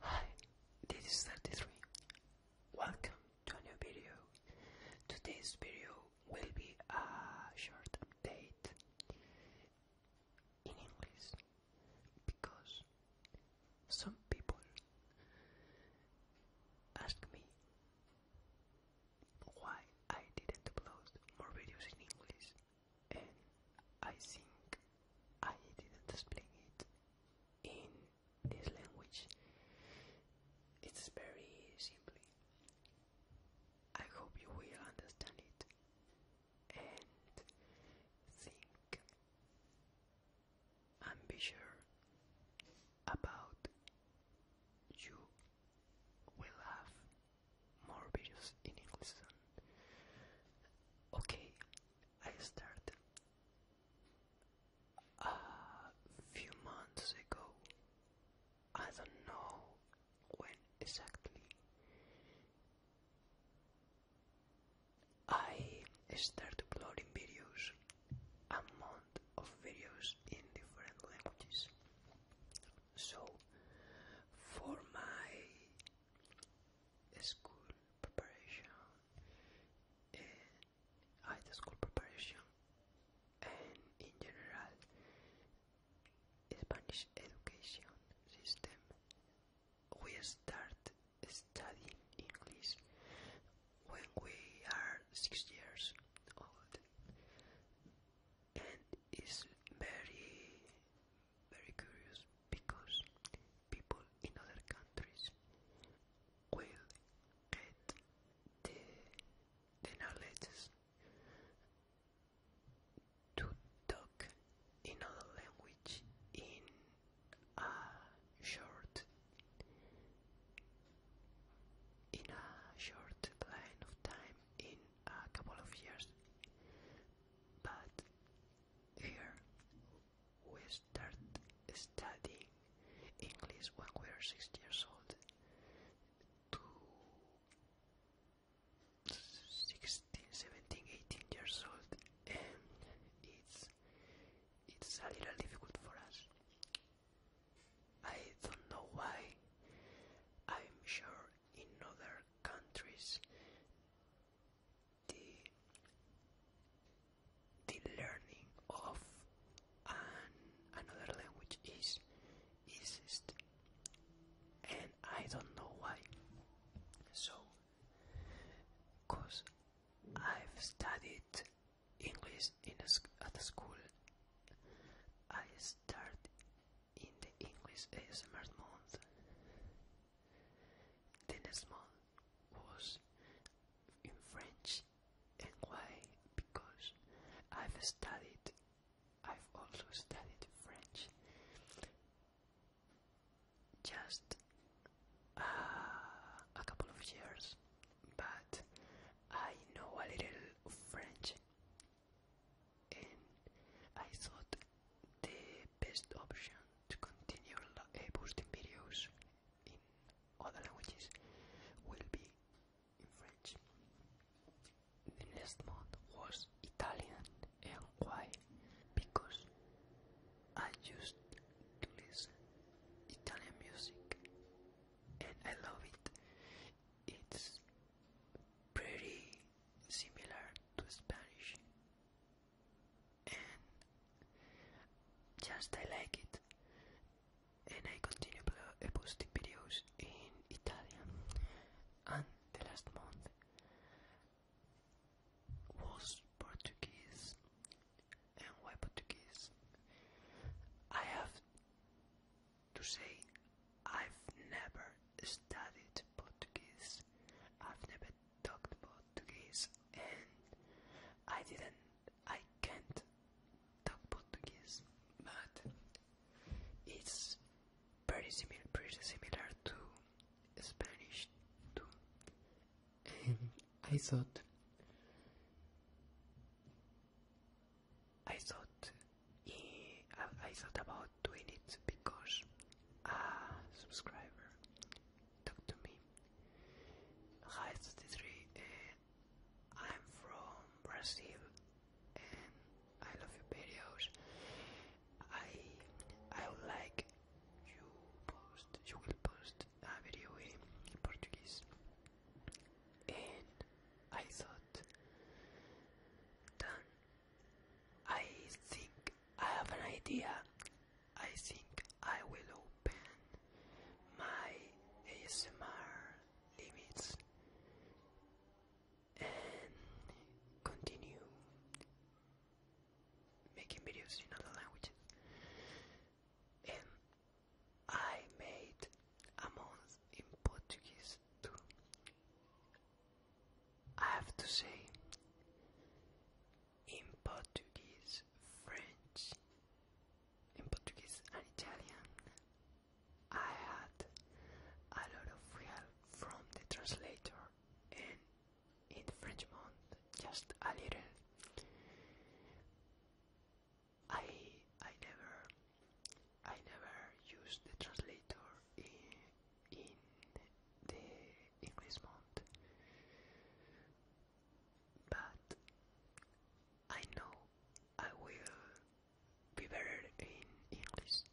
Hi, this is 33. Welcome to a new video. Today's video will be a short update in English because some people ask me why I didn't upload more videos in English and I think I didn't explain it in this language. It's very simply. I hope you will understand it and think and be sure about you will have more videos in English soon. Okay, I started a few months ago. I don't know when exactly. I started uploading videos, a month of videos in different languages. So, for my school preparation, high school preparation, and in general, Spanish education system. We start studying English when we are six years old, and it's very very curious because people in other countries will get the, the knowledge to talk in other language in a short in a short line of time in a couple of years. But here we start studying English when we are six years old to 16, years old, and it's it's a little difficult for us. I don't know why. I'm sure in other countries the the learning of another language is easiest and I don't know why so because I've studied English in a, at a school I started in the English ASMR month. The next month was in French, and why? Because I've studied, I've also studied French. Just uh, a couple of years, but I know a little French, and I thought the best option to continue uploading eh, videos in other languages will be in French. The last month was Italian, and why? Because I used to listen Italian music, and I love it. It's pretty similar to Spanish, and just I like it. And I continue eh, posting videos in Italian. And the last month was Portuguese and why Portuguese? I have to say, I've never studied Portuguese, I've never talked Portuguese, and I didn't, I can't talk Portuguese, but it's pretty similar, pretty similar to Spanish too. And I thought I thought I thought about doing it because a subscriber talked to me. Hi, 33. Uh, I'm from Brazil and I love your videos. I I would like you post you will post a ah, video in Portuguese, And I thought, I think I have an idea. I think I will open my ASMR limits and continue making videos in other languages. I made a month in Portuguese too. I have to say, in Portuguese, French, in Portuguese and Italian, I had a lot of help from the translator and in French Frenchmont, just a little. I I never I never used the translator in in the English month, but I know I will be better in English.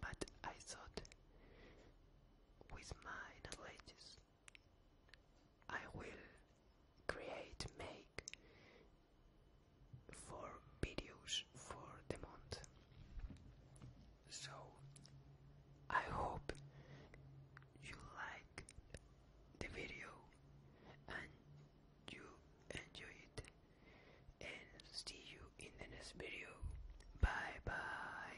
But I thought with my knowledge I will create make four videos for the month. So I hope you like the video and you enjoy it and see you in the next video. Bye bye.